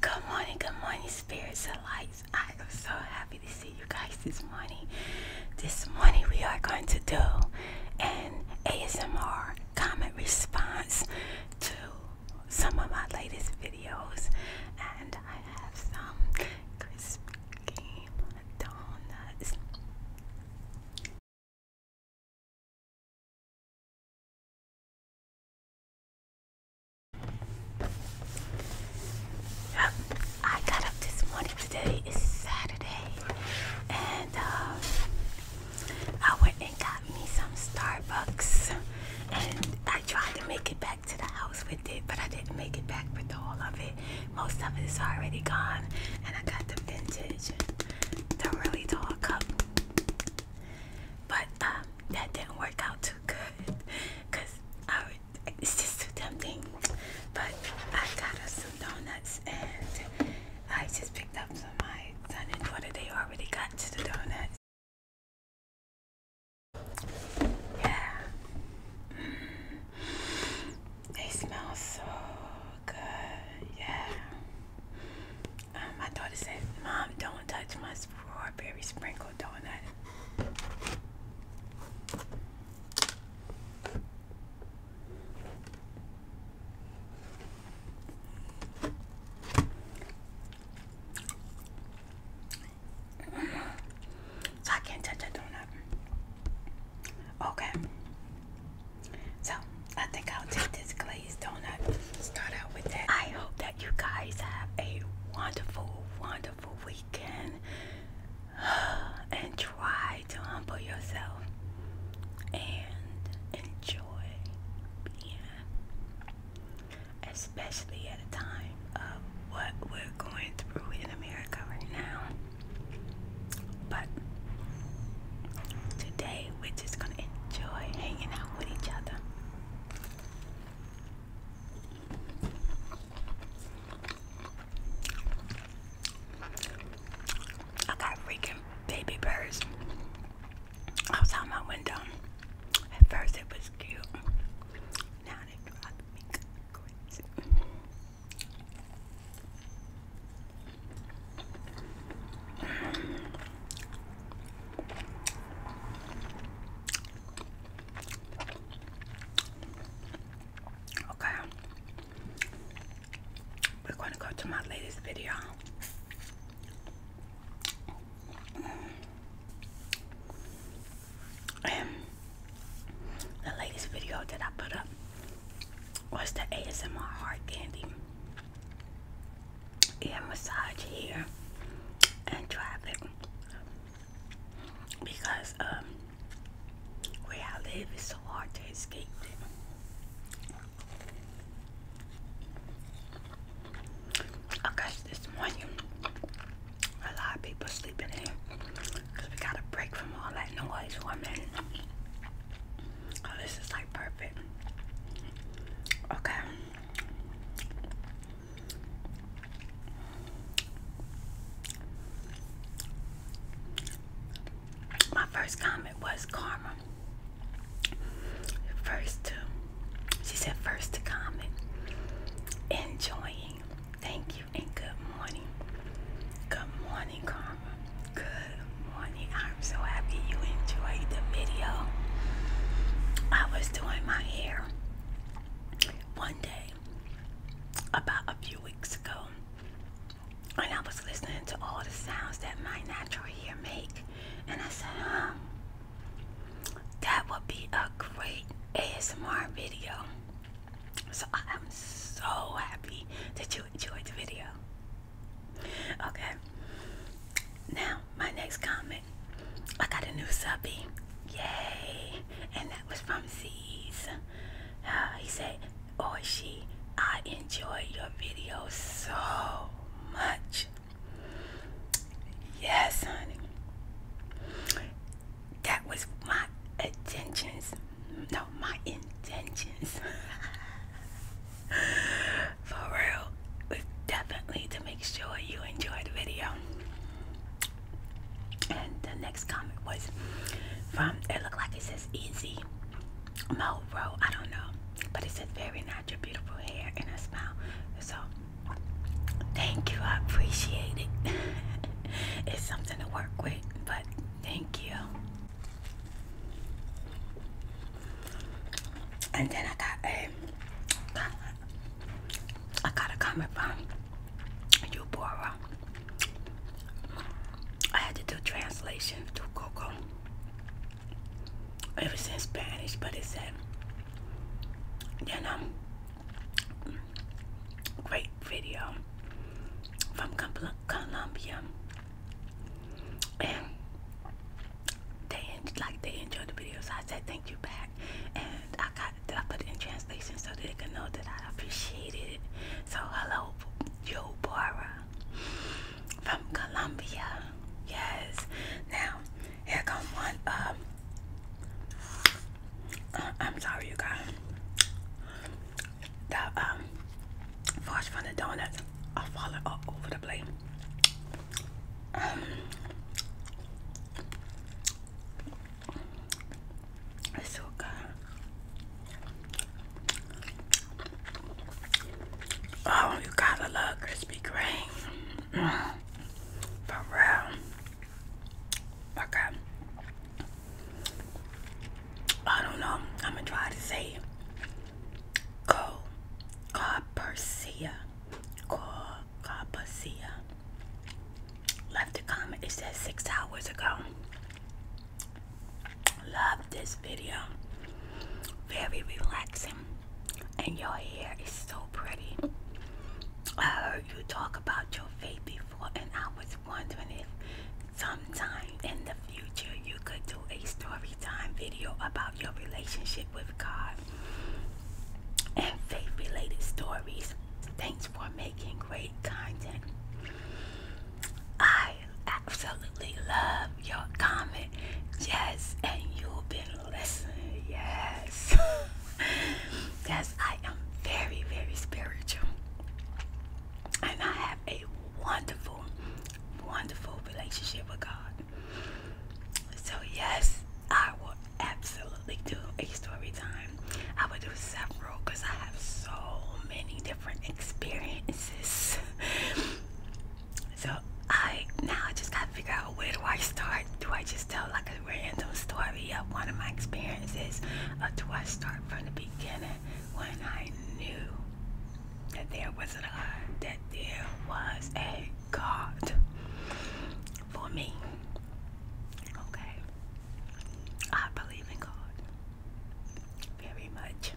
Good morning, good morning, spirits and lights. I am so happy to see you guys this morning. This morning we are going to do an ASMR comment response to some of my latest videos, and I have some crispy donuts. I got up this morning. Today is Saturday, and um, I went and got me some Starbucks, and I tried to make it back to the house with it, but I didn't make it back with all of it. Most of it is already gone, and I got the vintage, the really tall cup. But um, that didn't work out too good, cause it's just too tempting. But I got us some donuts, and I just picked up some. My son and daughter they already got to the donuts. Yeah. They smell so good. Yeah. Um, my daughter said, Mom, don't touch my strawberry sprinkle donut. So I can't touch a donut. Okay. So I think I'll take this glazed donut. Start out with that. I hope that you guys have a wonderful, wonderful weekend. And try to humble yourself and enjoy being, especially at a time what we're going through in America right now. But today we're just going to enjoy hanging out with each other. I got freaking baby birds outside my window. At first it was cute. Now they drive me crazy. Okay, we're going to go to my latest video and um, the latest video that I put up was the ASMR hard candy ear massage here and traffic because um where I live is so hard to escape I got this morning a lot of people sleeping here, because we got a break from all that noise for oh, this is like perfect. Okay. My first comment was karma. First to, she said, first to comment, enjoying. Thank you and good morning. Good morning, Karma. Good morning. I'm so happy you enjoyed the video. I was doing my hair one day about a few weeks ago, and I was listening to all the sounds that my natural hair make, and I said, huh, that would be a great ASMR video. So I am so happy that you enjoyed the video. Okay. Now my next comment. I got a new subby. Yay! And that was from Z's. Uh, he said, or oh, she, I enjoy your video so much. Yes, honey that was my intentions. No, my intentions. For real, was definitely to make sure you enjoy the video. And the next comment was from, it looked like it says easy mo, bro. I don't know. But it said very natural, beautiful hair and a smile. So, thank you. I appreciate it. it's something to work with, but thank you. And then I got a I got a comment from Eubora. I had to do translation to Coco. It was Spanish, but it said, you know, Great video from Colombia, and they like they enjoyed the video. So I said thank you back, and I got I put it in translation so they can know that I appreciated it. So hello, Joe Bora from Colombia. Yes. Now here comes one. Um, uh, I'm sorry, you guys the um, fudge from the donuts are falling all over the plate. Um, it's so good. Oh, you gotta love Krispy Kreme. Mm, for real. Okay. I don't know. I'm gonna try to say Co Carpercia. Carpercia. Left a comment. It says six hours ago. Love this video. Very relaxing. And your hair is so pretty. I heard you talk about your faith before, and I was was wondering if sometime in the future you could do a story time video about your relationship with God and faith related stories. Thanks for making great content. I absolutely love your comment. Yes, and you've been listening. Yes. Yes, I am very, very spiritual. And I have a wonderful, wonderful relationship with God. So, yes, I will absolutely do a story time. I will do several because I have so many different experiences. so, I now I just gotta figure out where do I start? Do I just tell like a random story of one of my experiences, or do I start? from the beginning when I knew that there was a God, that there was a God for me. Okay. I believe in God very much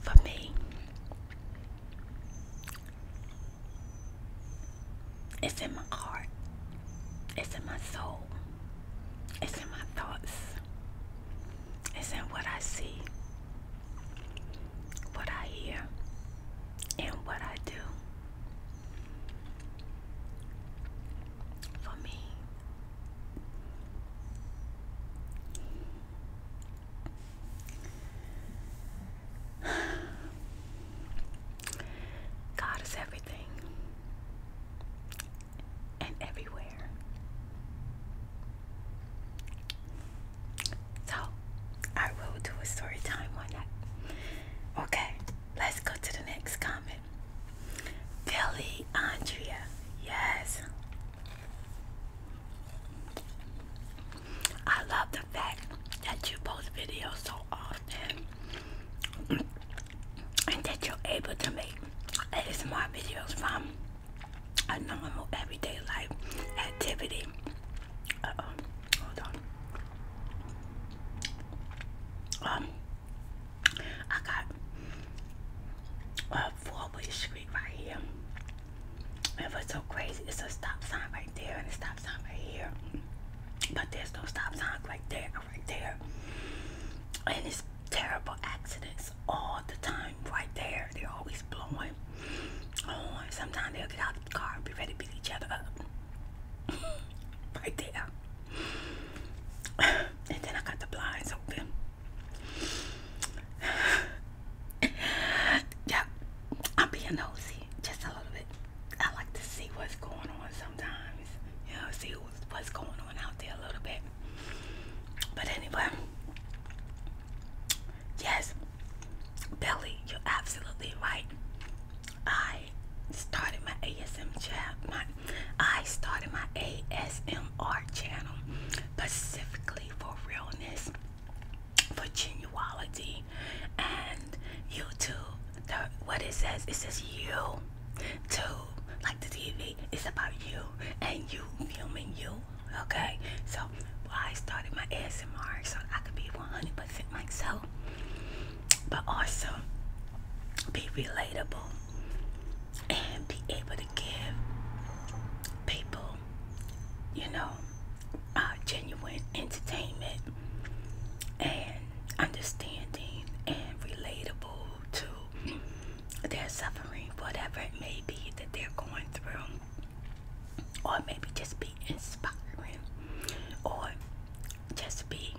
for me. It's in my heart. It's in my soul. It's in my thoughts. It's in what I see, what I hear, and what I do. For me, God is everything and everywhere. So, I will do a story time one. that. Okay, let's go to the next comment. Billy Andrea. Yes, I love the fact that you post videos so often and that you're able to make ASMR videos from a normal everyday life activity. Um, I got a four way street right here. It was so crazy. It's a stop sign right there and a stop sign right here. But there's no stop sign right there and right there. And it's terrible accidents all the time right there. They're always blowing Sometimes they'll get out of the car and be ready to beat each other up. right there. and then I got the blinds open. yeah, I'm being nosy just a little bit. I like to see what's going on sometimes, you know, see what's going on out there a little bit. But anyway, yes, Billy, you're absolutely right. I started my ASM chat. I started my ASMR channel specifically for realness for genuality and you too what it says it says you too like the TV it's about you and you filming you okay so I started my ASMR so I could be 100% myself but also be relatable and be able to give people you know, uh, genuine entertainment and understanding and relatable to their suffering, whatever it may be that they're going through, or maybe just be inspiring, or just be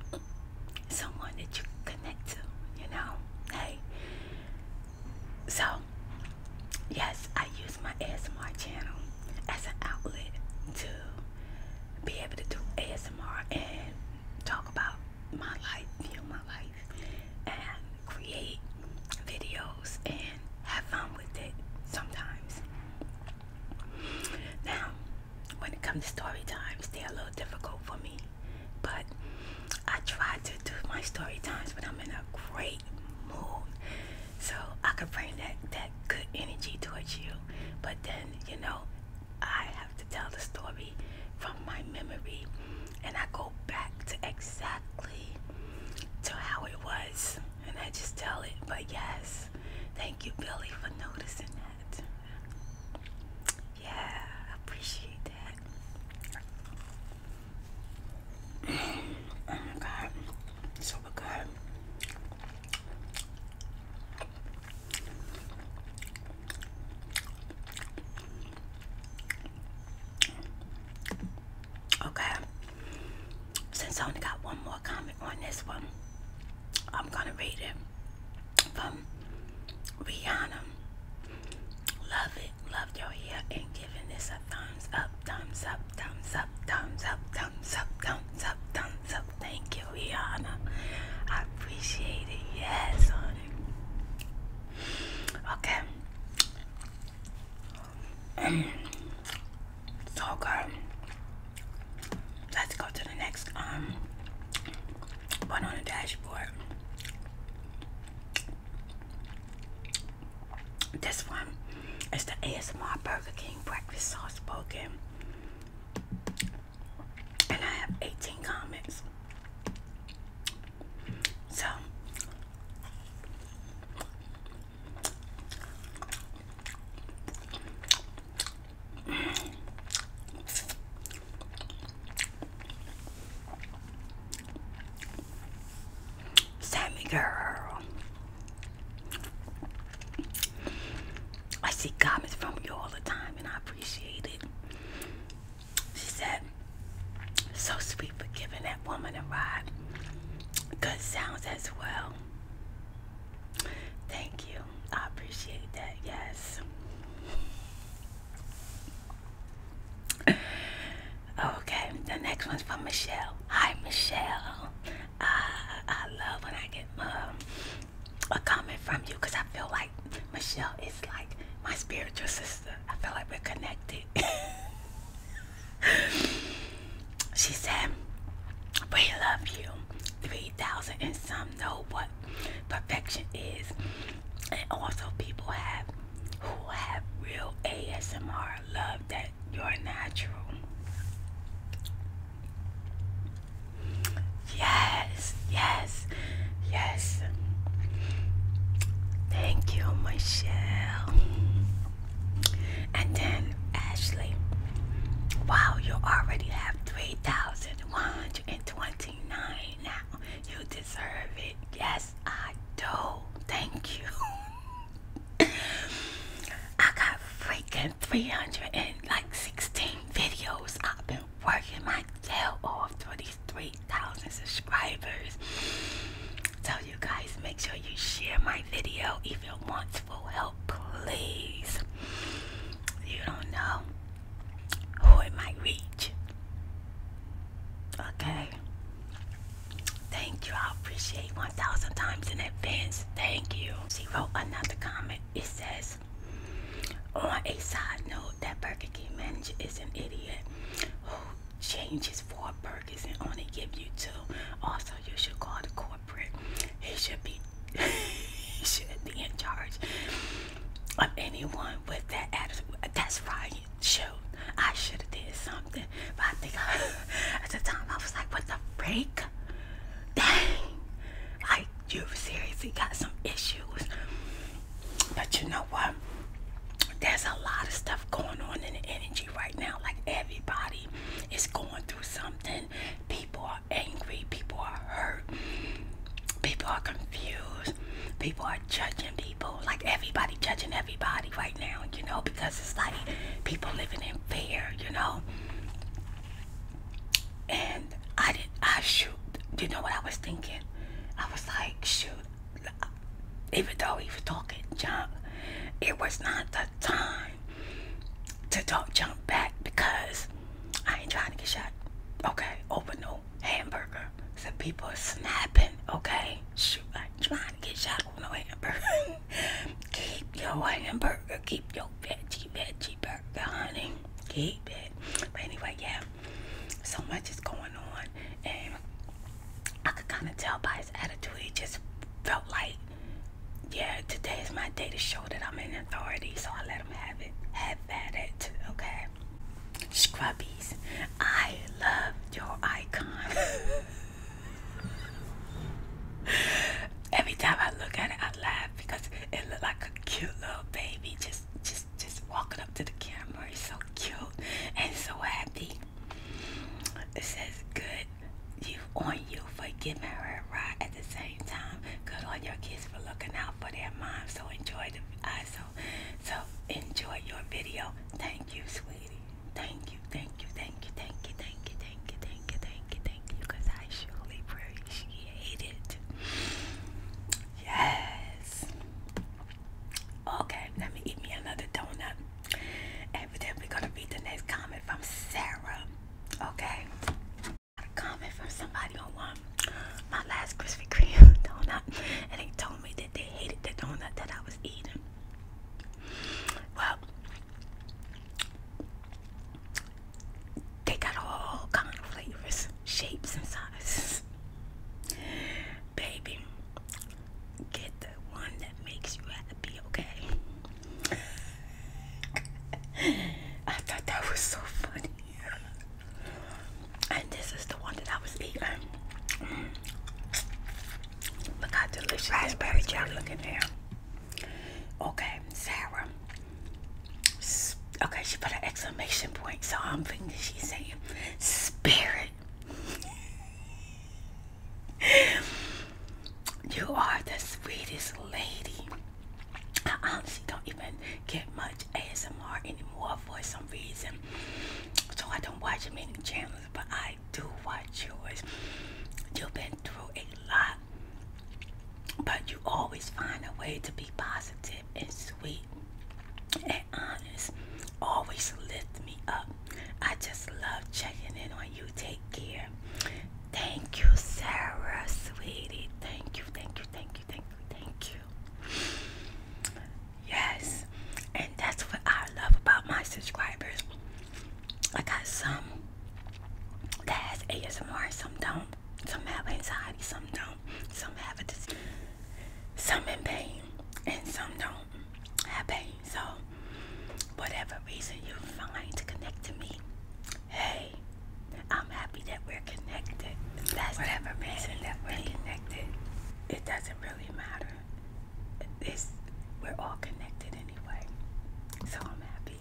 someone that you connect to, you know. Hey, so yes, I use my ASMR channel as an outlet to be able to do ASMR and talk about my life, you my life, and create videos and have fun with it sometimes. Now, when it comes to story times, they're a little difficult for me, but I try to do my story times when I'm in a great so I could bring that that good energy towards you but then you know I have to tell the story from my memory and I go back to exactly to how it was and I just tell it but yes thank you Billy for noticing that yeah appreciate that Oh my god, so good. Okay, since I only got one more comment on this one, I'm gonna read it from Rihanna. Love it, love your hair and giving this a thumbs up, thumbs up, thumbs up, thumbs up, thumbs up, thumbs up, thumbs up. Thank you, Rihanna. I appreciate it. Yes, honey. Okay. so good. Let's go to the next um, one on the dashboard. This one is the ASMR Burger King breakfast sauce spoken. And I have 18 comments. So Sammy girl. I see comments from you all the time and I appreciate it. She said, so sweet for giving that woman a ride. Good sounds as well. Thank you. I appreciate that. Yes. Okay, the next one's from Michelle. Hi, Michelle. Uh, I love when I get um, a comment from you because I feel like Michelle is like my spiritual sister. I feel like we're connected. she said, We love you. 3,000 and some know what perfection is. And also, people have who have real ASMR I Love that you're natural. Yes, yes, yes. Thank you, Michelle. And then Ashley. Wow, you already have 3,129 now. You deserve it. Yes. I do. Thank you. I got freaking 300 and like 16 videos. I've been working my tail off for these 3,000 subscribers. So you guys make sure you share my video if you want full help, please. You don't know who it might reach. Okay. Thank you. I appreciate 1,000 times in advance. Thank you. She wrote another comment. It says, on a side note, that Burger King manager is an idiot who changes for burgers and only give you two. Also, you should call the corporate. He should be, he should be in charge of anyone with that attitude. That's right shoot, I should have did something. But I think I, at the time I was like, what the freak? Dang. Like, you have seriously got some issues. But you know what? There's a lot of stuff going on in the energy right now. Like, everybody is going through something. People are angry. People are hurt. People are confused. People are judging people, like everybody judging everybody right now, you know, because it's like people living in fear, you know. And I did, I shoot, you know what I was thinking? I was like, shoot, even though he was talking jump. it was not the time to talk jump back because I ain't trying to get shot. Okay, open no hamburger. Some people are snapping. Okay, shoot, I ain't trying to get shot keep your hamburger. Keep your veggie, veggie burger, honey. Keep it. But anyway, yeah. So much is going on, and I could kind of tell by his attitude. He just felt like, yeah, today is my day to show that I'm in authority. So I let him have it. Have at it. Okay. Scrubbies, I love your icon. Every time I look at it, I laugh because it looks like a cute little baby just just just walking up to the camera. He's so cute and so happy. It says good you on you for giving her a ride at the same time. Good on your kids for looking out for their mom. So enjoy the I so enjoy your video. Thank you, sweetie. Crazy. Thank you, thank you, thank you, thank you, thank you, thank you, thank you, thank you, thank you, because I surely appreciate it. Yes. Okay, let me eat me another donut. Evidently gonna read the next comment from Sarah. Okay. Got a comment from somebody on one. My last Krispy Kreme donut and they told me that they hated the donut that I was eating. Well, they got all kind of flavors, shapes, and sizes. Baby, get the one that makes you happy, okay? I thought that was so funny. And this is the one that I was eating. Mm. Look how delicious raspberry jelly looking there. Okay, Sarah. Okay, she put an exclamation point, so I'm thinking she's saying spirit. you are the sweetest lady. I honestly don't even get much ASMR anymore for some reason. So I don't watch many channels but I do watch yours. You've been through a lot, but you always find a way to be positive and sweet and honest. Always lift me up. I just love checking in on you. Take care. Thank you, Sarah, sweetie. Thank you, thank you, thank you, thank you, thank you. Yes, and that's what I love about my subscribers. I got some that has ASMR, some don't. Some have anxiety, some don't. Some have a disease, some in pain, and some don't have pain. So, whatever reason you find to connect to me, hey, I'm happy that we're connected. whatever reason that we're connected. It doesn't really matter it's, we're all connected anyway. So I'm happy.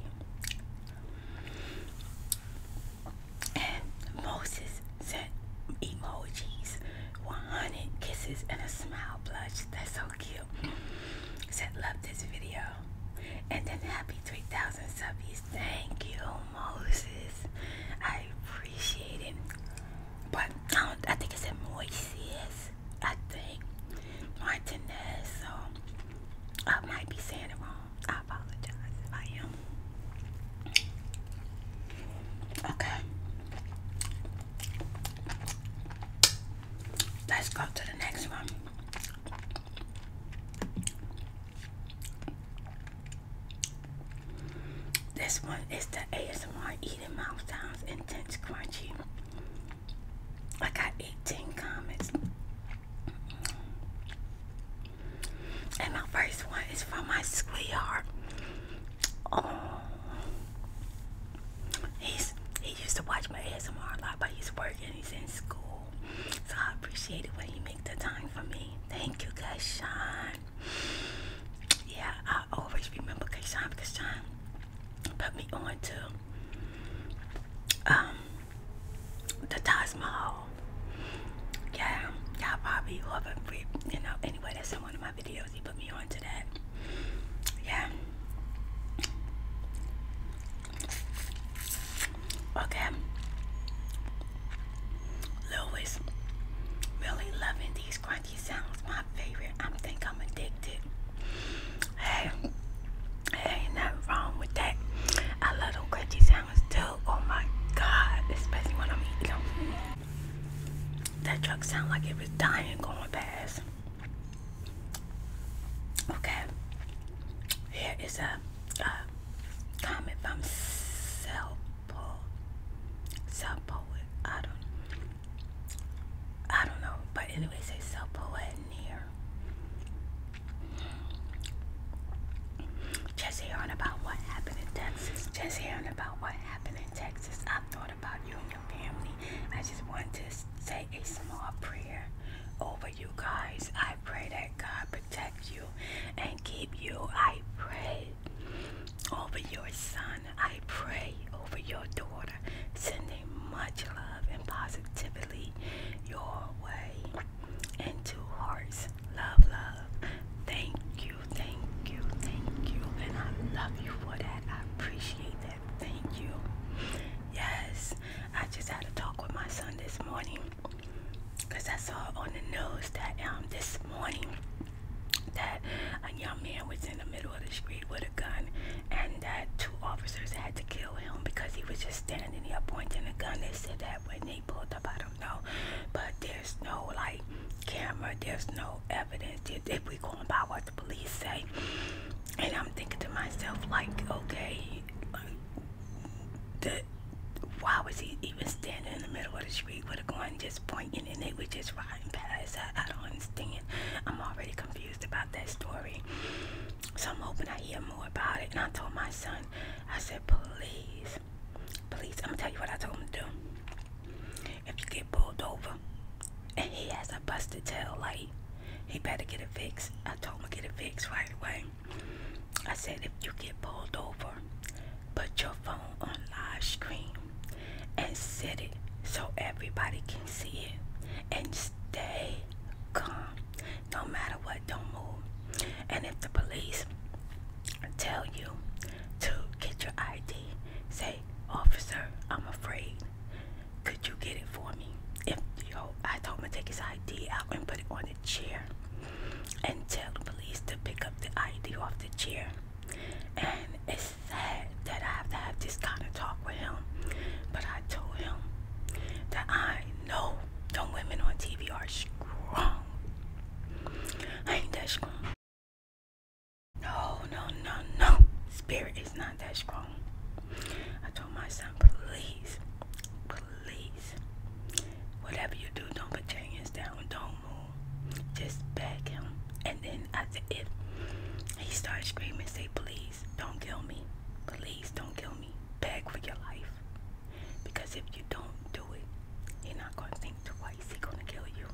And Moses sent emojis, 100 kisses and a smile blush. That's so cute. Said love this video. And then happy 3,000 subbies. Thank you, Moses. I appreciate it. But I, think it's said Moises. I think Martinez. I might be saying it wrong. I apologize if I am. Okay. Let's go to the next one. This one is the ASMR mouth sounds intense crunchy. I got 18 comments. And my first one is from my sweetheart. Oh, he's he used to watch my ASMR a lot, but he's working. He's in school, so I appreciate it when he makes the time for me. Thank you, guys, Sean. Yeah, I always remember Kayshawn because John put me on to um, the Taj Mahal. Yeah, y'all probably whoever, you know, anyway, that's one of my videos. He put me on to that. Yeah. Okay. Louis really loving these Funny sounds my favorite. I think I'm addicted. Hey, hey, nothing wrong with that. I love them crunchy sounds too. Oh my god, especially when I'm eating them. That truck sound like it was dying going past. Okay, here is a, comment from Cell Poet. I don't I don't know, but anyways, they sell Poet here. Just hearing about what happened in Texas. Just hearing about what happened in Texas. I thought about you and your family. I just want to say a small prayer over you guys. I pray that God protect you and keep you. I pray over your son I pray over your daughter, sending much love and positivity your way into hearts. Love, love. Thank you, thank you, thank you. And I love you for that. I appreciate that. Thank you. Yes, I just had a talk with my son this morning because I saw on the news that um, this morning that a young man was in the middle of the street with a gun and that two officers had to kill him because he was just standing there pointing a gun. They said that when they pulled up, I don't know. But there's no like camera, there's no evidence. If we going by what the police say. And I'm thinking to myself like, okay, the, why was he even standing in the middle of the street with a gun just pointing? and they were just riding past. I, I don't understand. I'm already confused about that story. So I'm hoping I hear more about it. And I told my son, I said, please, please, I'm gonna tell you what I told him to do. If you get pulled over and he has a busted tail light, he better get it fixed. I told him to get it fixed right away. I said, if you get pulled over, put your phone on live stream." and sit it so everybody can see it and stay calm no matter what don't move and if the police tell you to get your id say officer i'm afraid could you get it for me if you know, i told him to take his id out and put it on the chair and tell the police to pick up the id off the chair and it's sad that I have to have this kind of talk with him, but I told him that I know the women on TV are strong. I ain't that strong. No, no, no, no. Spirit is not that strong. I told my son, please, please, whatever you do, don't put your hands down. Don't move. Just back him. And then and I he started screaming, say, please don't kill me. Please don't kill me. Beg for your life. Because if you don't do it, you're not going to think twice. He's going to kill you.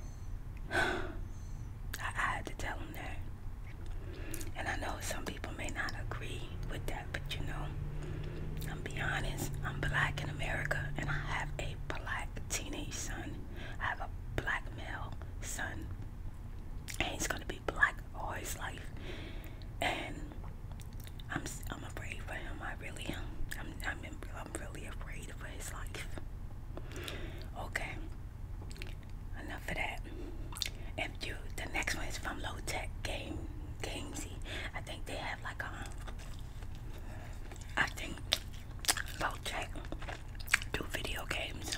I had to tell him that. And I know some people may not agree with that, but you know, I'm be honest, I'm black in America and I have a black teenage son. I have a black male son, and he's gonna be black all his life. And I'm I'm afraid for him. I really am. I'm I'm, really afraid for his life. Okay, enough of that. If you, the next one is from Low Tech Game Gamesy. I think they have like a. Um, I think Bojack do video games.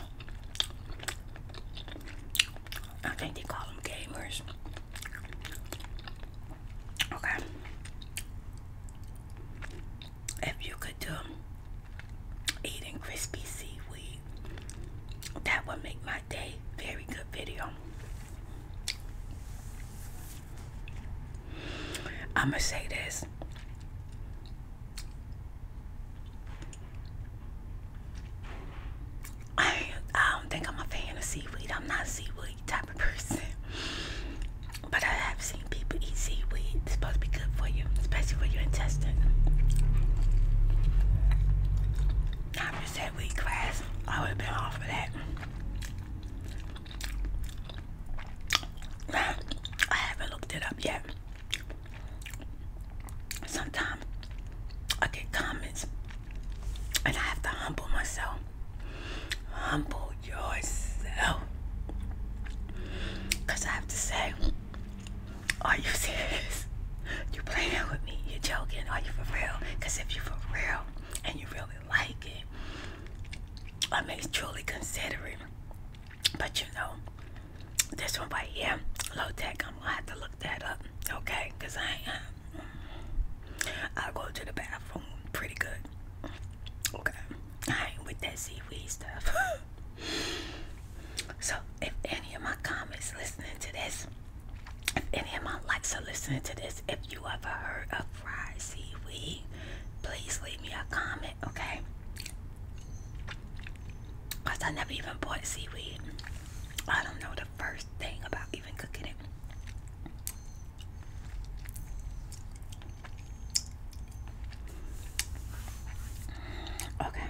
I think they call them gamers. Okay. If you could do eating crispy seaweed, that would make my day. Very good video. I'ma say this. I, I don't think I'm a fan of seaweed. I'm not a seaweed type of person. But I have seen people eat seaweed. It's supposed to be good for you, especially for your intestine. I'm just had class. I would have been off of that. I haven't looked it up yet sometimes I get comments and I have to humble myself. Humble yourself. Because I have to say, are you serious? You are playing with me? You are joking? Are you for real? Because if you are for real and you really like it, I mean, it's truly considerate. But you know, this one right here, low tech, I'm gonna have to look that up, okay? Because I ain't, uh, I'll go to the bathroom pretty good, okay? I ain't with that seaweed stuff. so, if any of my comments listening to this, if any of my likes are listening to this, if you ever heard of fried seaweed, please leave me a comment, okay? Cause I never even bought seaweed. I don't know the first thing about even cooking it. Okay.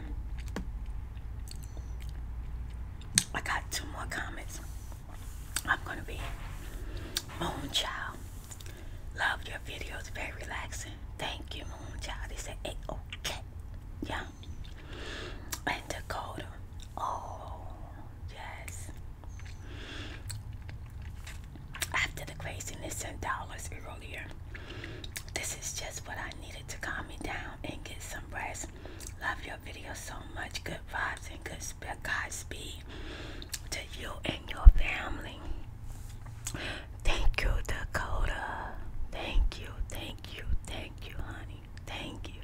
I got two more comments. I'm gonna be moon child. Love your videos, very relaxing. Thank you, Moonchild. They said, hey, okay. Yeah. And Dakota. Oh, yes. After the craziness and dollars earlier, this is just what I needed to calm me down and get some rest. Love your videos so much. Good vibes and good sp Godspeed to you and your family. Thank you, Dakota. Thank you, thank you, thank you, honey. Thank you.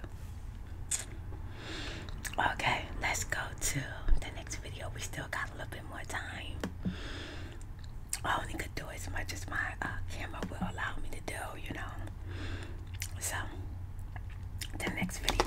Okay, let's go to the next video. We still got a little bit more time. I only could do as much as my uh, camera will allow me to do, you know. So, the next video.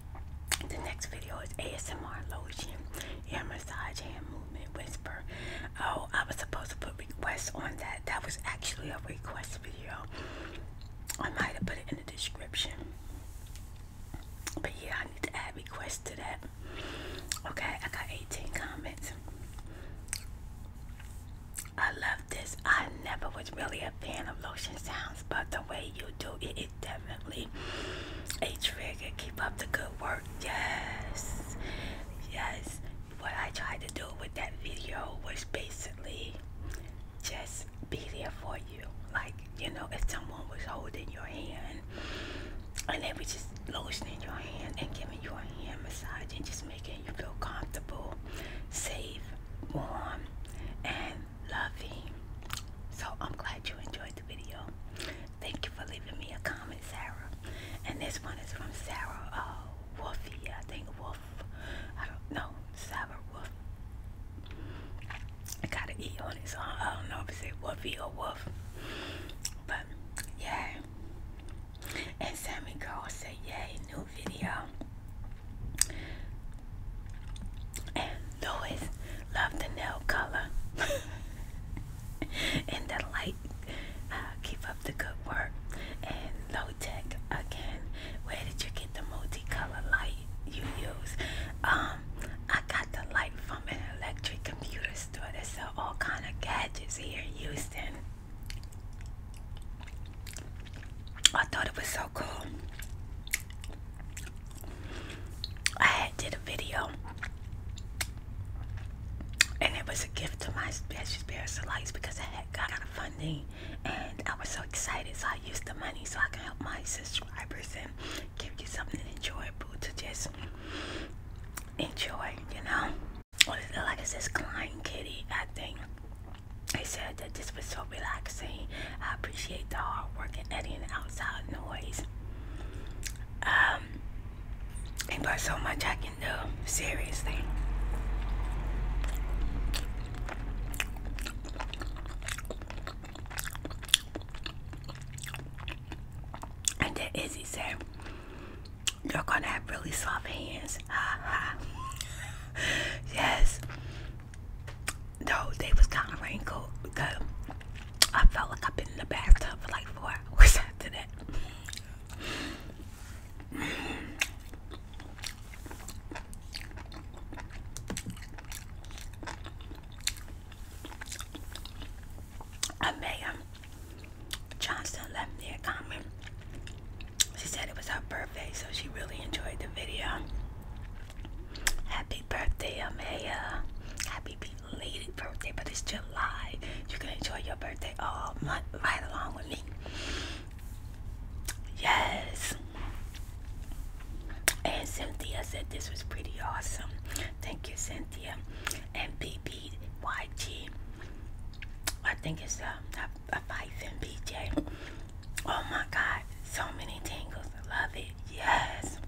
the next video is ASMR lotion, ear massage, hand movement, whisper. Oh, I was supposed to put requests on that. That was actually a request video. I might have put it in the description. But yeah, I need to add requests to that. Okay, I got 18 comments. I love this. I never was really a fan of lotion sounds, but the way you you do. It definitely a trigger. Keep up the good work. Yes. Yes. What I tried to do with that video was basically just be there for you. Like, you know, if someone was holding your hand and they were just lotioning your hand and giving you a hand massage and just making you feel comfortable, safe, warm, and loving. So I'm glad you enjoyed the video. Thank you for leaving me a comment, Sarah. And this one is from Sarah uh, Wolfie, I think Wolf. I don't know, Sarah Wolf. I got an E on it, I don't know if it's Wolfie or Wolf. But yeah. And Sammy Girl said, Yay, new video. And Louis loved the nail color and the light. Uh, keep up the good work. And low tech again. Where did you get the multicolor light you use? Um, I got the light from an electric computer store that sell all kind of gadgets here in Houston. I thought it was so cool. I did a video and it was a gift to my special spirits of lights because I had got out of funding and I was so excited so I used the money so I can help my subscribers and give you something enjoyable to just enjoy, you know. What is it like this says Klein Kitty, I think. They said that this was so relaxing. I appreciate the hard work and editing outside noise. Um, ain't but so much I can do, seriously. And then Izzy said, You're gonna have really soft hands. Ha ha. yes. No, they was kind of wrinkled because I felt like I've been in the bathtub for like four hours after that. Amaya Johnston left me a comment. She said it was her birthday, so she really enjoyed the video. Happy birthday, Amaya. Happy belated birthday, but it's July. You can enjoy your birthday all month right along with me. Yes. And Cynthia said this was pretty awesome. Thank you, Cynthia. And BBYG. I think it's um, a, a, fight in BJ. Oh my God. So many tingles. I love it. Yes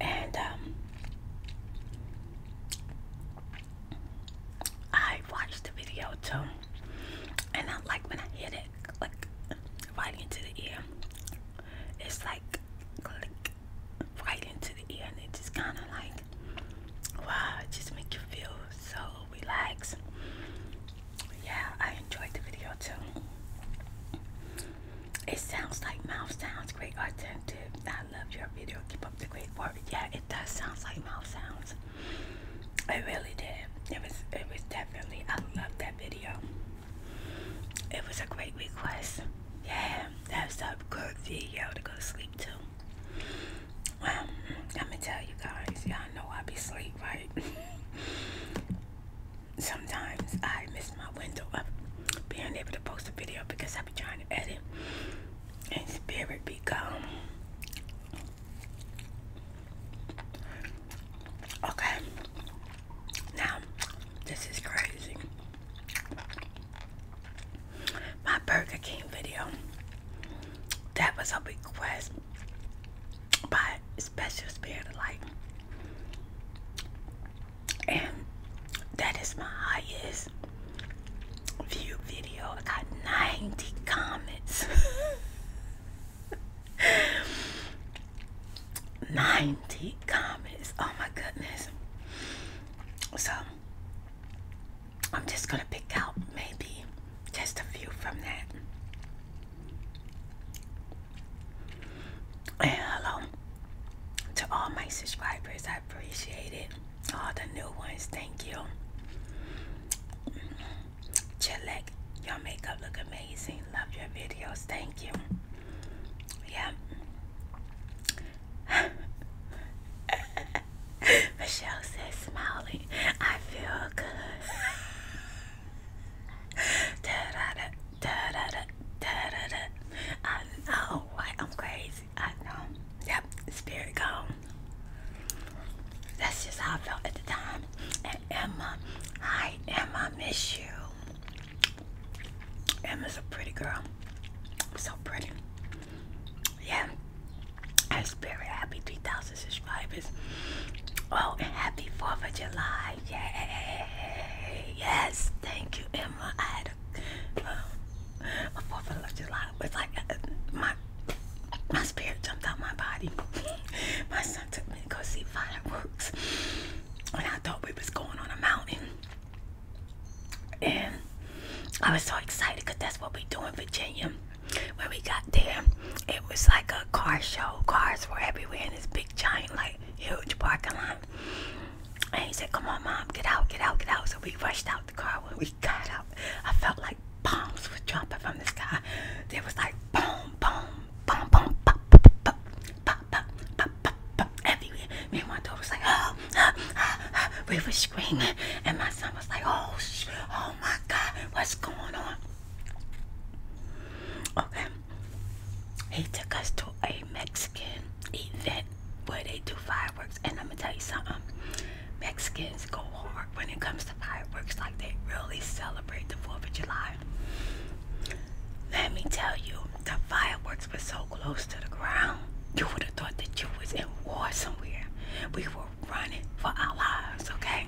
and um, I watched the video too, and I like when I hit it, like right into the ear. It's like right into the ear, and it just kind of like wow, it just make you feel so relaxed yeah, I enjoyed the video too. It sounds like mouse sounds great Attentive, I love your video. Keep up the great work. Yeah, it does sounds like mouse sounds. I really did. It was it was definitely I love that video. It was a great request. Yeah, that's a good video to go sleep to. Well, I'm gonna tell you guys, y'all know I be sleep, right? sometimes I miss my window of being able to post a video because I be trying to edit and spirit be gone. Okay, now this is crazy. My Burger King video that was a request by special spirit of light. And that is my highest view video. I got 90 comments. 90 comments. Oh my goodness. So I'm just gonna pick out maybe just a few from that hello to all my subscribers. I appreciate it. All the new ones, thank you. Chilek, your makeup look amazing. Love your videos. Thank you. Yeah. Michelle says smiling. I feel good. I know I'm crazy. I know. Yep, spirit gone. That's just how I felt at the time. Emma, hi Emma, miss you. Emma's a pretty girl. So pretty. Yeah. I'm very happy 3,000 subscribers. Oh, and happy 4th of July. Yay! Yes, thank you, Emma. I had a, my um, Fourth of July was like uh, my my spirit jumped out my body. my son took me to go see fireworks, and I thought we was going on a mountain, and I was so excited because that's what we do in Virginia. When we got there, it was like a car show. Cars were everywhere, and this big giant like huge parking lot. And he said, Come on, mom, get out, get out, get out. So we rushed out the car. When we got out, I felt like bombs were jumping from the sky. There was like boom, boom, boom, boom, pop, pop, pop, pop, pop, pop, pop, pop, everywhere. Me and my daughter was like, oh, ah, ah, ah. we were screaming. And my son was like, oh, sh oh my God, what's going on? Okay. He took us to a Mexican event where they do fireworks. And I'm going to tell you something. Mexicans go hard when it comes to fireworks. Like they really celebrate the 4th of July. Let me tell you, the fireworks were so close to the ground. You would have thought that you was in war somewhere. We were running for our lives, okay?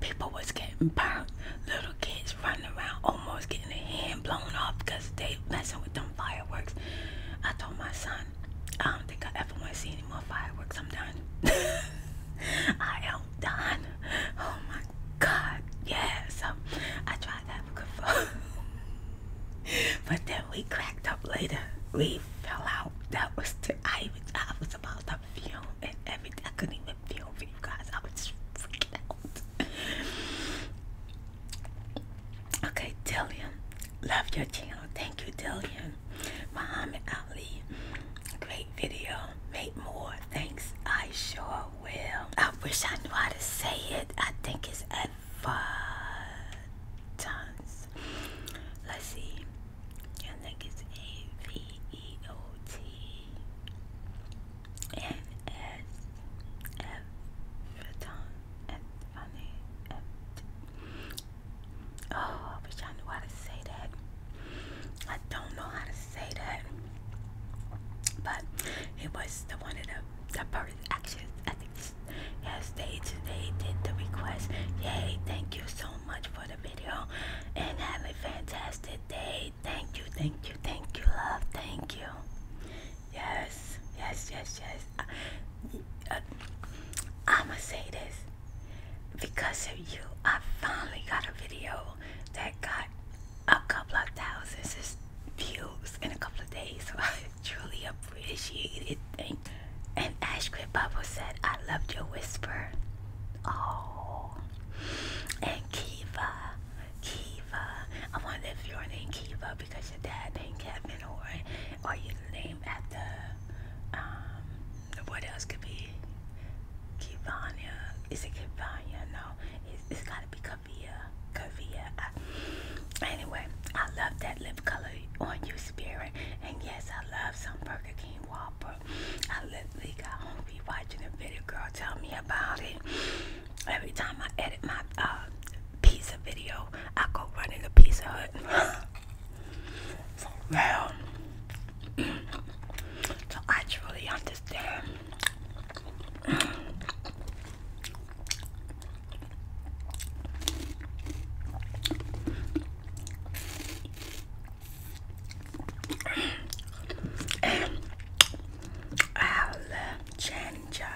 People was getting burnt. Little kids running around almost getting their hand blown off because they messing with them fireworks. I told my son, I don't think I ever want to see any more fireworks. I'm done. I am done. Oh my God. Yeah, so I tried to have a but then we cracked up later. We fell out. That was the, I was about to film and everything. I couldn't even feel for you guys. I was just freaking out. Okay, Dillian. Love your channel. Thank you, Dillian. Muhammad Ali. Great video. Make more. Thanks. I sure will. I wish I knew how to say it. I think it's advertise. Let's see. I think it's A V E O T N S F Faton F Funny Oh, I wish I knew how to say that. I don't know how to say that. But it was the one of the the first actions. I think yes, they they did the request. Yay! Thank you so much for the video, and have a fantastic day. Thank you, thank you, thank you, love. Thank you. Yes, yes, yes, yes. Uh, I'ma say this because of you. I finally got a video that got a couple of thousands of views in a couple of days. So I truly appreciate it. Thank and Ashgrid Bubble said, I loved your whisper. Oh named Kiva. Kiva. I wonder if you're named Kiva because your dad named Kevin or or you named after um what else could be Kivanya. Is it Kivanya? No. It's, it's gotta be Kavia. Kavia. I, anyway, I love that lip color on you spirit. And yes, I love some Burger King Whopper I literally got home be watching a video. Girl, tell me about it. Every time I edit my uh, pizza video, I go running a the Pizza Hut. For so I truly understand and I love ginger.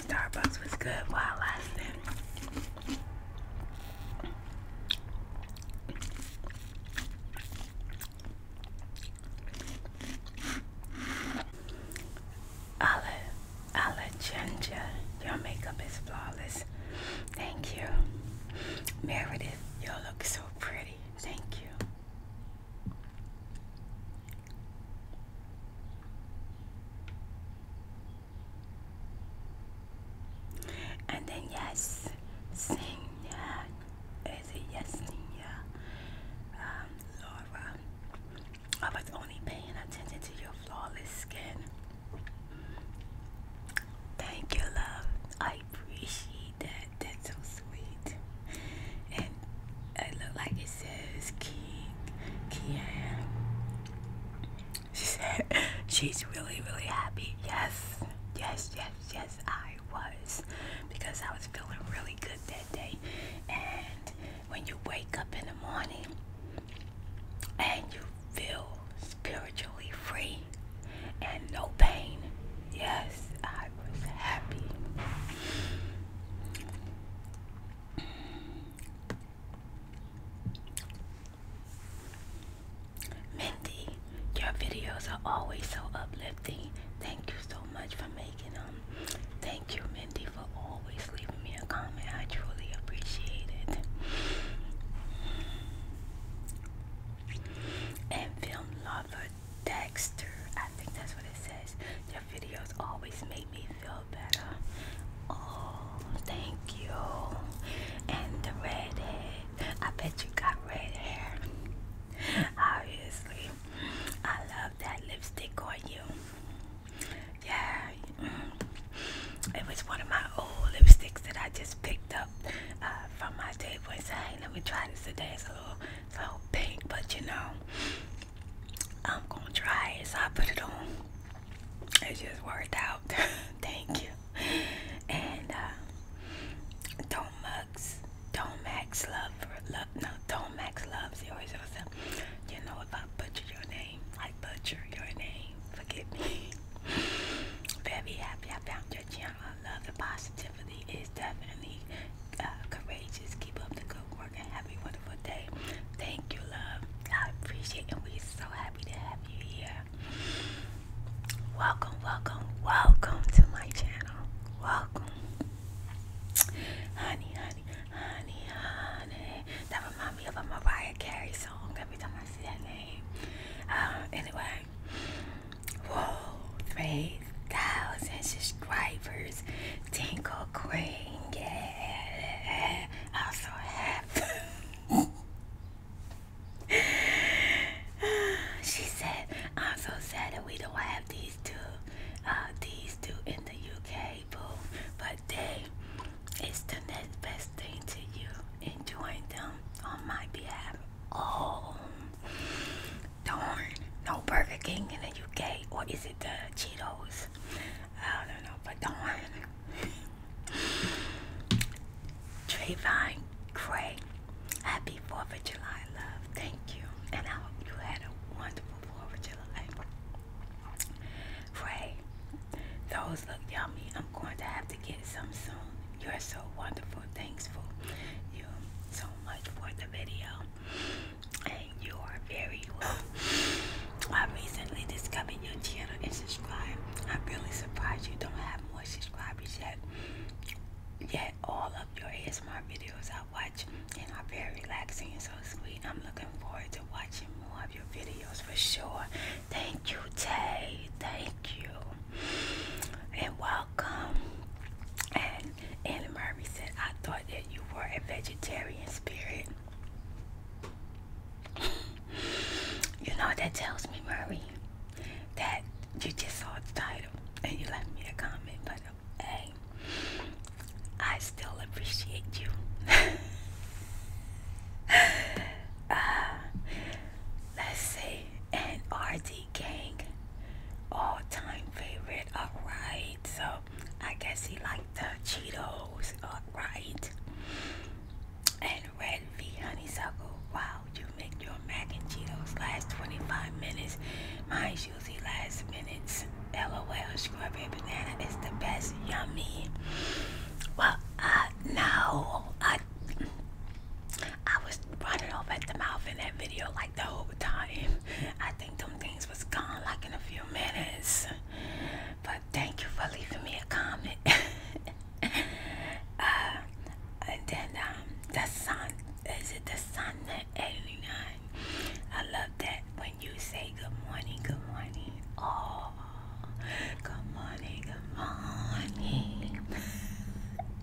Starbucks was good while lasting. Ala, Ala Ginger, your makeup is flawless. Thank you. Meredith, you look so pretty. Thank you. And then yes, sing Is it yes sing um, Laura. I was only paying attention to your flawless skin. Thank you, love. I appreciate that. That's so sweet. And it looked like it says King Kian. She said she's really, really happy. Yes, yes, yes, yes, I was. Because I was feeling really good that day. And when you wake up in the morning and you feel spiritually free and no pain, yes, I was happy. Mindy, your videos are always so uplifting. Thank you so much for making them. Thank you, Mindy, for always leaving me a comment. I truly appreciate it. And film lover Dexter, I think that's what it says. Your videos always make me feel better. Oh, thank you. And the red I bet you got red hair. Obviously, I love that lipstick on you. Yeah, it was one of my old lipsticks that I just picked up uh, from my table and said, "Hey, we're trying to today." a little, little pink, but you know, I'm gonna try as I put it on it just worked out. Thank you. And uh, do love for love. No, don't He always says, you know, if I butcher your name, I butcher your name. Forgive me. Very happy I found your channel. Love and positivity is definitely uh, courageous. Keep up the good work and have a wonderful day. Thank you, love. I appreciate it. And we're so happy to have you here. Welcome, welcome, welcome to my channel. Welcome. Honey, honey, honey, honey. That reminds me of a Mariah Carey song every time I see that name. Um, anyway. Whoa, 3,000 subscribers. Tinkle Queen, yeah. I'm so happy. she said, I'm so sad that we don't have these two, uh, these two in the UK, boo. But they, it's the next best thing to you. Enjoy them on my behalf. Oh, darn. No Burger King in the UK. Or is it the Cheetos? I don't know if don't want Trayvon Gray, happy 4th of July, love. Thank you. And I hope you had a wonderful 4th of July. Gray, those look yummy. I'm going to have to get some soon. You're so wonderful. thankful. you so much for the video. And you are very I recently discovered your channel and subscribed. I'm really surprised you don't have more subscribers yet. Yet all of your ASMR videos I watch and are very relaxing and so sweet. I'm looking forward to watching more of your videos for sure. Thank you, Tay. Thank you. And welcome. And Annie Murray said, I thought that you were a vegetarian spirit you know that tells me, Murray? That you just saw the title and you left me a comment, but uh, hey, I still appreciate you. Uh, let's see, and Gang, all time favorite. All right, so I guess he liked the Cheetos uh, right and red V honeysuckle. Wow, you make your mac and Cheetos last 25 minutes. Mine usually last minutes. LOL, strawberry banana is the best. Yummy. Well, I uh, know I I was running off at the mouth in that video like the whole time. I think them things was gone like in a few minutes but thank you for leaving me a comment. Uh, and then um, the sun, is it the sun at 89? I love that when you say good morning, good morning. Oh, good morning, good morning.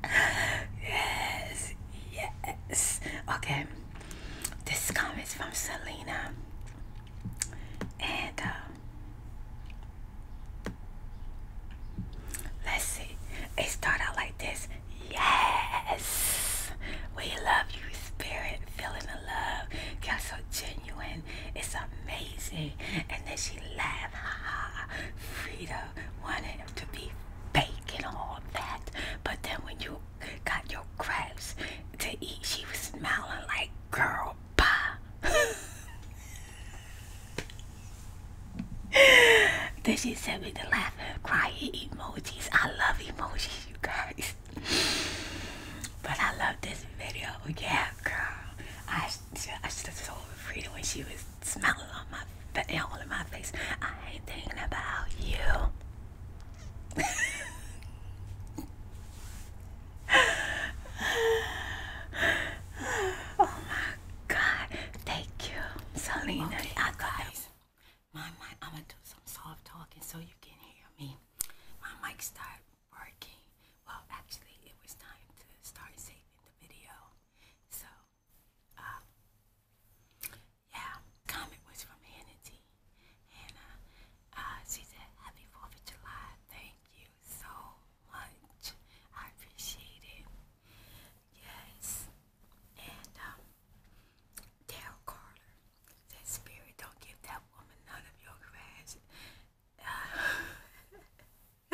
yes, yes. Okay, this comment is from Selena. And uh, let's see. It started out like this. Yes, we love you, spirit. Feeling the love. You're so genuine. It's amazing. And then she laughed. Ha ha. Frida wanted him to be fake and all that. But then when you got your crepes to eat, she was smiling like, girl, Bah. then she sent me the laughing, crying emojis. I love emojis, you guys. But I love this video. Yeah, girl. I should have told Frida when she was smiling on my all in my face. I ain't thinking about you. oh my god. Thank you, Selena. guys, my mic, I'm gonna do some soft talking so you can hear me. My mic started working. Well, actually, it was time to start saving the video. So, uh, yeah, comment was from Hannity. And uh, uh, she said, Happy 4th of July. Thank you so much. I appreciate it. Yes. And um, Daryl Carter said, Spirit, don't give that woman none of your grass. Uh,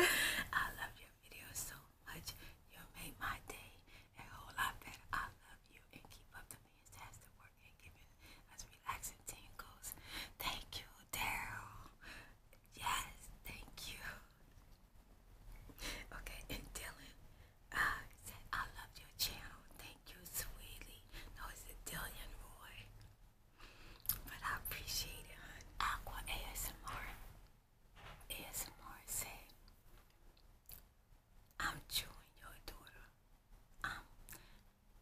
I love your videos so much. You made my day a whole lot better. I love you and keep up the fantastic work and giving us relaxing tingles. Thank you, Daryl. Yes, thank you. Okay, and Dylan uh, said, I love your channel. Thank you, sweetie. No, it's Dylan Roy. But I appreciate it, hon. Aqua ASMR. ASMR said, I'm chewing your daughter. i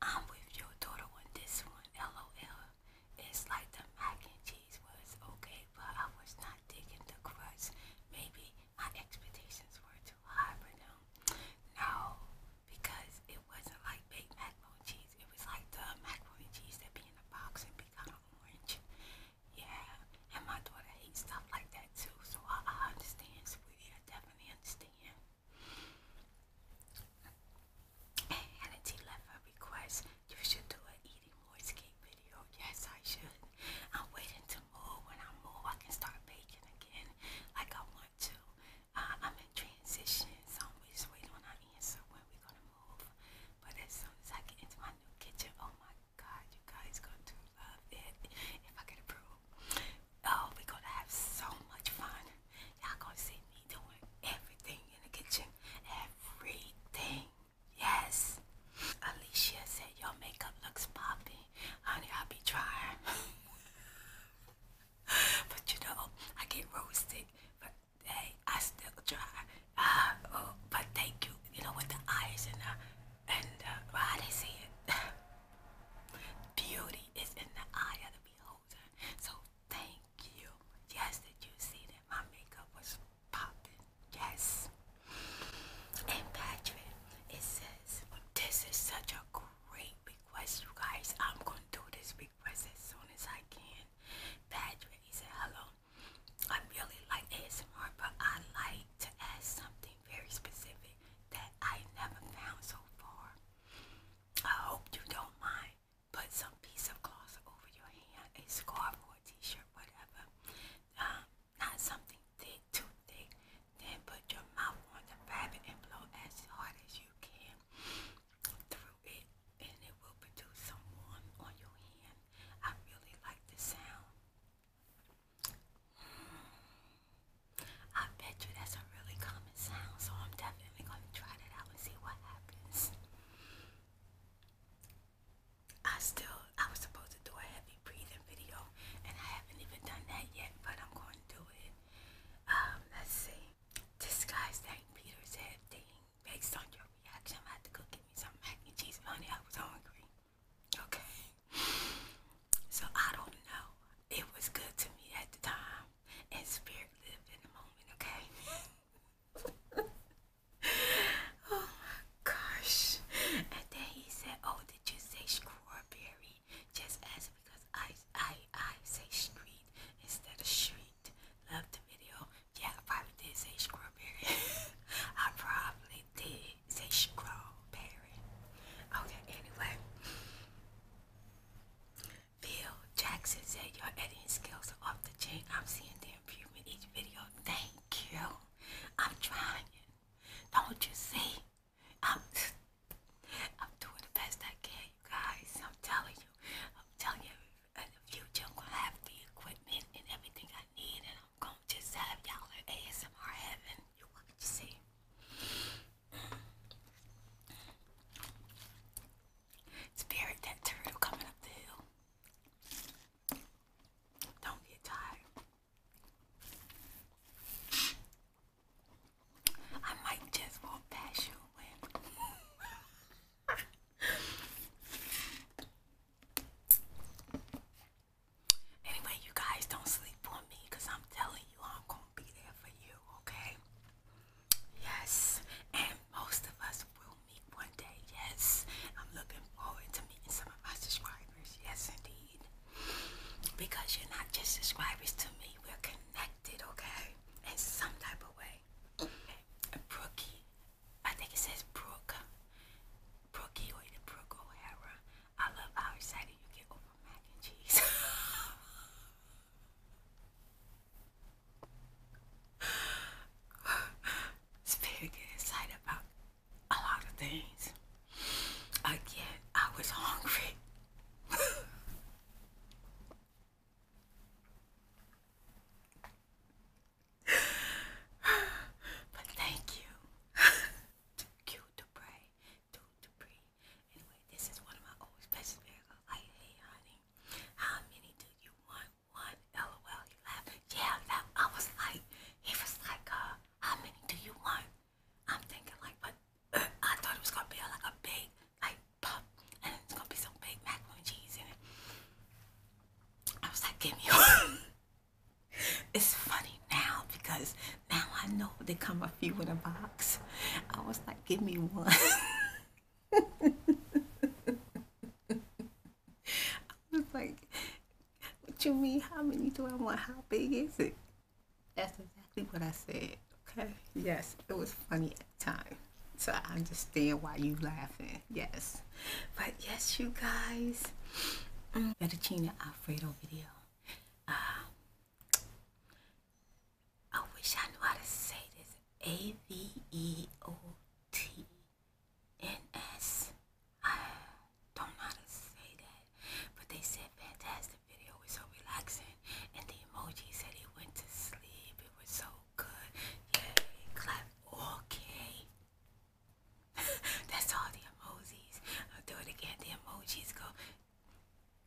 I'm with your daughter on this one. LOL. It's like the mac and cheese was okay, but I was not digging the crust. Maybe my expectations were too high for them. No, because it wasn't like big mac macaroni cheese. It was like the macaroni cheese that be in the box and be kind of orange. Yeah, and my daughter hates stuff like that too, so I, understand, sweetie. I definitely understand. Hannity left request. You should do an eating more escape video. Yes, I should. I'm waiting to move. When I move, I can start baking again like I want to. Uh, I'm in transition, so I'm just waiting on our answer when we're going to move. But as soon as I get into my new kitchen, oh my God, you guys going to love it if I get approved. Oh, we gonna have so much fun. Y'all gonna see me doing everything in the kitchen. Everything. Yes. Alicia said your makeup looks poppy. Honey, i be trying. but you know, I get roasted. But hey, I still try. Uh, oh, but thank you. You know, with the eyes and the, and the, how they say it. Beauty is in the eye of the beholder. So thank you. Yes, did you see that my makeup was popping? Yes. And Patrick, it says, this is such a great request, you guys. I'm going to do this request as soon as I can. Patrick, he said, hello. I really like ASMR, but I like to ask something very specific that I never found so far. I hope you don't mind. Put some piece of cloth over your hand, a scarf or a t-shirt, whatever. Um, not something thick, too thick. Then put your mouth on the fabric and blow as hard as you can through it, and it will produce some warmth on your hand. I really like the sound. I bet you that's a really common sound, so I'm definitely going to try that out and see what happens. I still, I was supposed to do a heavy breathing video, and I haven't even done that yet, but I'm going to do it. Um, let's see. This guy's name, Peter's head thing. Based on your reaction, I had to go get me some mac and cheese. Honey, I was hungry. Okay. So I don't know. It was good to me at the time and spirit live in the moment, okay? oh my gosh. And then he said, Oh, did you say strawberry? Just as because I I I say street instead of street. Love the video. Yeah, I probably did say strawberry. I probably did say strawberry. Okay, anyway. Phil Jackson said your editing skills are off the chain. I'm seeing the improvement each video. Thank you. I'm trying. Don't you see? I'm I'm doing the best I can, you guys. I'm telling you. I'm telling you in uh, the future I'm gonna have the equipment and everything I need and I'm gonna just have y'all at ASMR heaven. You want to see? Spirit, very that turtle coming up the hill. Don't get tired. I might just walk past you anyway, you guys don't sleep on me because I'm telling you I'm going to be there for you, okay? Yes, and most of us will meet one day. Yes, I'm looking forward to meeting some of my subscribers. Yes, indeed. Because you're not just subscribers to me, we're connected, okay? In some type of way. Okay. Brookie, I think it says Brooke. Brookie or the Brooke O'Hara. I love how excited you get over mac and cheese. It's very getting excited about a lot of things. Again, I was hungry. but thank you. Thank you, Dupre. Dupree. Anyway, this is one of my old special miracles. Like, hey, honey, how many do you want? One. LOL. He laughed. Yeah, I was like, he was like, uh, how many do you want? I'm thinking like, but uh, I thought it was gonna be like a big, like pup, and it's gonna be some big macaroni and cheese in it. I was like, give me one. it's funny now because now I know they come a few in a box. I was like give me one. I was like, what you mean? How many do I want? How big is it? That's exactly what I said. Okay. Yes, it was funny at the time. So I understand why you laughing. Yes. But yes, you guys. Mm. Fettuccine Alfredo video. Uh, I wish I knew how to say this. A V E O T N S. I don't know how to say that, but they said fantastic video was so relaxing, and the emoji said he went to sleep. It was so good. Yay! Clap. Okay. That's all the emojis. I'll do it again. The emojis go.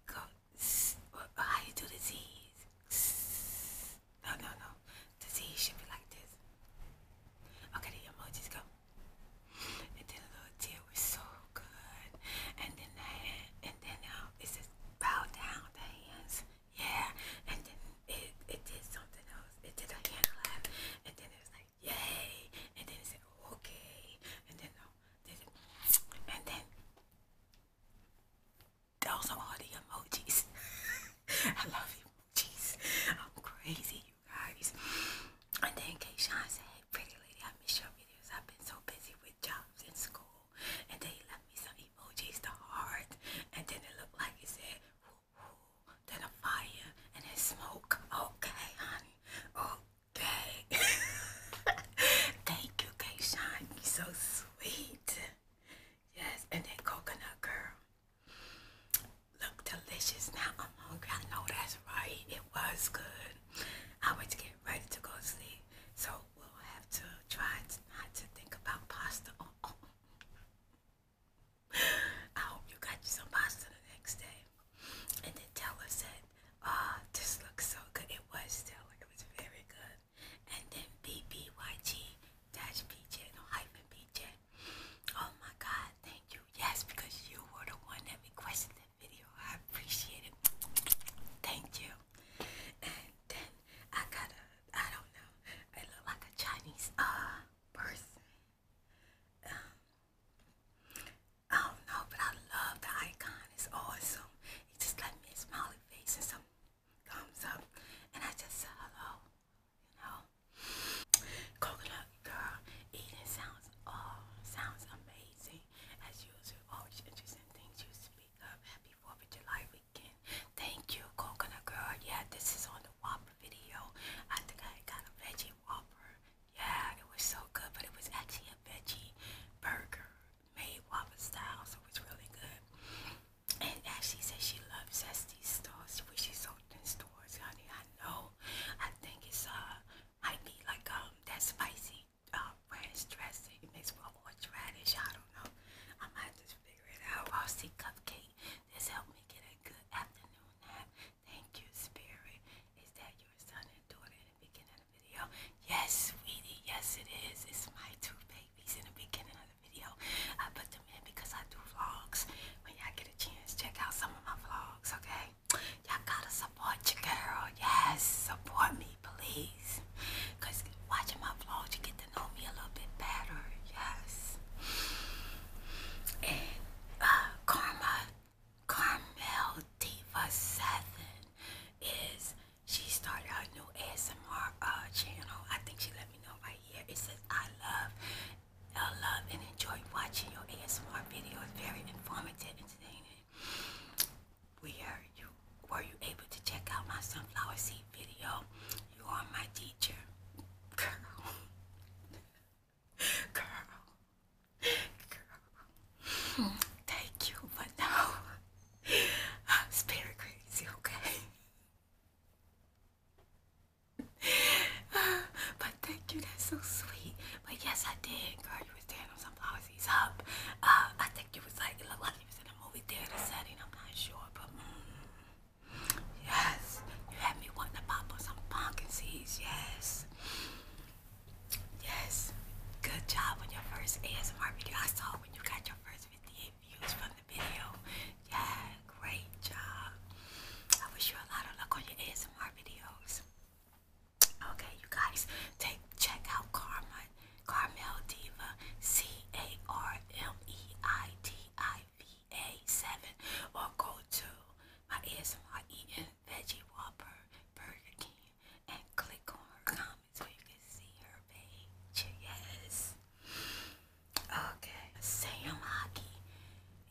Go, how you do the Z's? No, no, no. The Z should be like this. Okay, the emojis go. And then the little deer was so good. And then the hand, and then um, it says bow down the hands. Yeah. And then it, it did something else. It did a hand clap. And then it was like, yay. And then it said, okay. And then, no, um, did it. And then those are all the emojis. I love emojis. I'm crazy, you guys. And then Kayshawn said, Hey, pretty lady, I miss your videos. I've been so busy with jobs and school. And then he left me some emojis, the heart. And then it looked like he said, whoo, whoo, then a fire, and then smoke. Okay, honey. Okay. Thank Okay, Kayshawn. You are so sweet. Yes, and that coconut girl. Look delicious. Now I'm hungry. I know that's right. It was good. I went to get ready to go to sleep. So we'll have to try not to think about pasta. Oh, oh, I hope you got you some pasta the next day. And then Taylor said, ah, oh, this looks so good. It was still like it was very good and then BBYG dash BJ, no hyphen BJ. Oh my God, thank you. Yes, because you were the one that requested the video. I appreciate it. Thank you. And then I got a, I don't know, I look like a Chinese ah person. Um, I don't know, but I love the icon. It's awesome. It just let me smile face and some thumbs up, and I just said hello, you know. Coconut girl eating sounds oh sounds amazing as usual. Always interesting things you speak of. Happy Fourth of July weekend. Thank you, Coconut girl. Yeah, this is on the Whopper video. I think I got a veggie Whopper. Yeah, it was so good, but it was actually a veggie burger made Whopper style, so it's really good. And Ashley says she loves Zesty stores. She wishes open in stores, honey. I know. I think it's uh might be like um that spicy ranch uh, dressing mixed with horseradish. I don't know. I might just figure it out. Rusty cupcake. This helped me get a good afternoon nap. Thank you, Spirit. Is that your son and daughter the beginning of the video. Yes, sweetie, yes it is. It's my two babies in the beginning of the video. I put them in because I do vlogs. When y'all get a chance, check out some of my vlogs, okay? Y'all gotta support your girl. Yes, support me, please. Cause watching my vlogs, you get to know me a little bit better. Yes. And uh, Karma, Carmel Diva 7 is she started her new ASMR uh, channel. I think she let me know right here. It says, I love, I love and enjoy watching your ASMR videos. Very informative, entertaining. Were you, were you able to check out my sunflower seed video? You are my teacher. Girl. Girl. Girl thank you, but now it's very crazy, okay? but thank you, that's so sweet. But yes, I did, girl. You was there on some policies up. Uh, I think you was like, it looked like you was in a movie theater setting. I'm not sure, but mm, yes, you had me wanting to pop on some pumpkin Yes, yes. Good job on your first ASMR video. I saw when you got your first 58 views from the video. Yeah, great job. I wish you a lot of luck on your ASMR videos. Okay, you guys, take check out Karma, Carmel Diva, C A R M E I T I V A 7, or go to my ASMR Eating Veggie Whopper Burger King and click on me so you can see her page. Yes. Okay. Sam Hockey.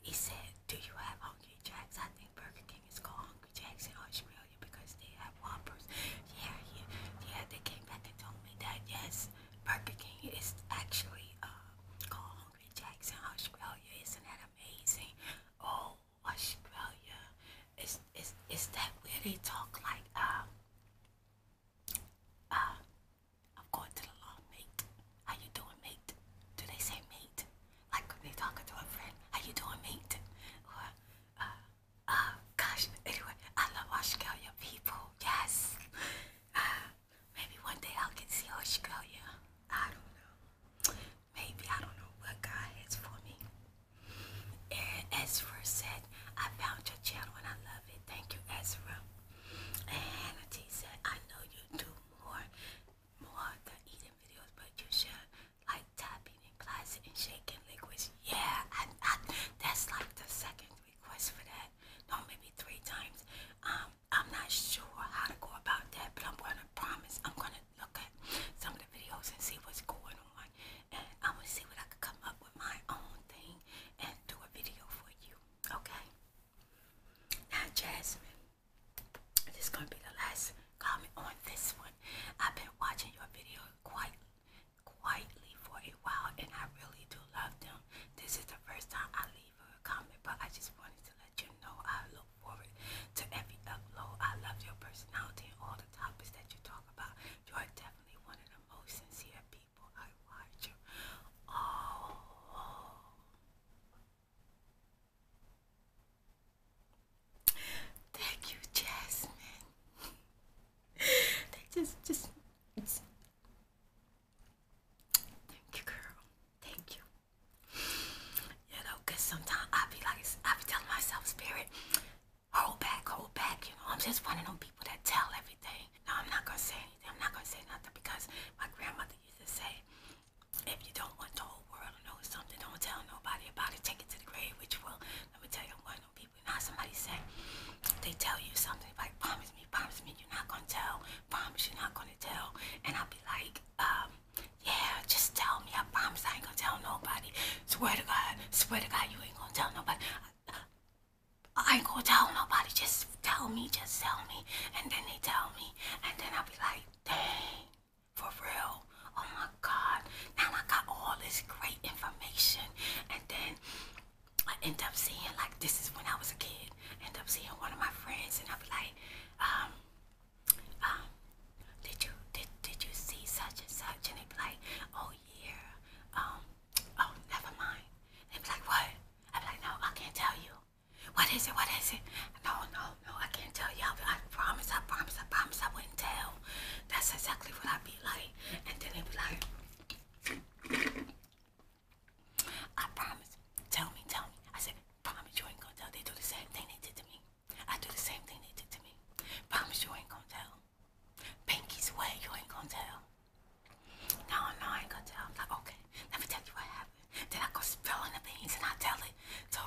He said, Do you have Hungry Jacks? I think Burger King is called Hungry Jacks in Australia because they have Whoppers. Yeah, yeah, yeah. They came back and told me that, yes, Burger King is actually uh, called Hungry Jacks in Australia. Isn't that amazing? Oh, Australia. Is is is that where they talk like uh, uh, I'm going to the lawn mate. How you doing mate? Do they say mate? Like when they talking to a friend, how you doing mate? Or uh, gosh anyway, I love Australia people, yes. maybe one day I'll get to Australia. I don't know. Maybe I don't know what God has for me. Ezra said, I found your channel and I love it. Thank you, Ezra. And Hannah said, I know you do more, more than eating videos, but you should like tapping in classic and shaking liquids. Yeah, that's like the second request for that. No, maybe three times. Um, I'm not sure how to go about that, but I'm going to promise I'm going to look at some of the videos and see what's going on and I'm gonna see what I could come up with my own thing and do a video for you. Okay. Now, Jasmine, this is gonna be the last comment on this one. I've been watching your video quite quietly for a while, and I really do love them. This is the first time I leave a comment, but I just wanted to let you know I look forward to every upload. I love your personality and all the topics that you talk about. You are definitely definitely one of the most sincere people I watch. Oh, thank you, Jasmine. they just, just, it's... thank you, girl. Thank you. You know, cause sometimes I be like, I be telling myself, Spirit, hold back, hold back. You know, I'm just one of them people that tell everything. No, I'm not gonna say anything. I'm not gonna say nothing because my grandmother used to say, if you don't want the whole world to know something, don't tell nobody about it. Take it to the grave, which will. Let me tell you, I'm people. Now somebody say, they tell you something like, promise me, promise me, you're not gonna tell. Promise you're not gonna tell. And I'll be like, um, yeah, just tell me. I promise I ain't gonna tell nobody. Swear to God. Swear to God, you ain't gonna tell nobody. I, I ain't going tell nobody. Just tell me, just tell me. And then they tell me. And then I'll be like, dang, for real. Oh my God. Now I got all this great information. And then I end up seeing, like, this is when I was a kid. End up seeing one of my friends, and I'll be like, um, um, did you did did you see such and such? And they'd be like, oh yeah, um, oh, never mind. they be like, what? i be like, no, I can't tell you. What is it? What is it? No, no, no, I can't tell you. I, I promise, I promise, I promise I wouldn't tell. That's exactly what I'd be like. And then they'd be like, I promise. Tell me, tell me. I said, promise you ain't gonna tell. They do the same thing they did to me. I do the same thing they did to me. Promise you ain't gonna tell. Pinky's way, you ain't going tell. No, no, I ain't gonna tell. I'm like, okay, let me tell you what happened. Then I go spill spilling the beans and I tell it. So,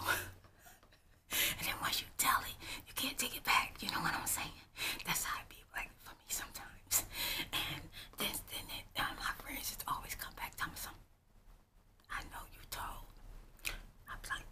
and then once you tell it, you can't take it back. You know what I'm saying? That's how it be like for me sometimes. And then, then, it, um, my friends just always come back to me something. I know you told. I'm like,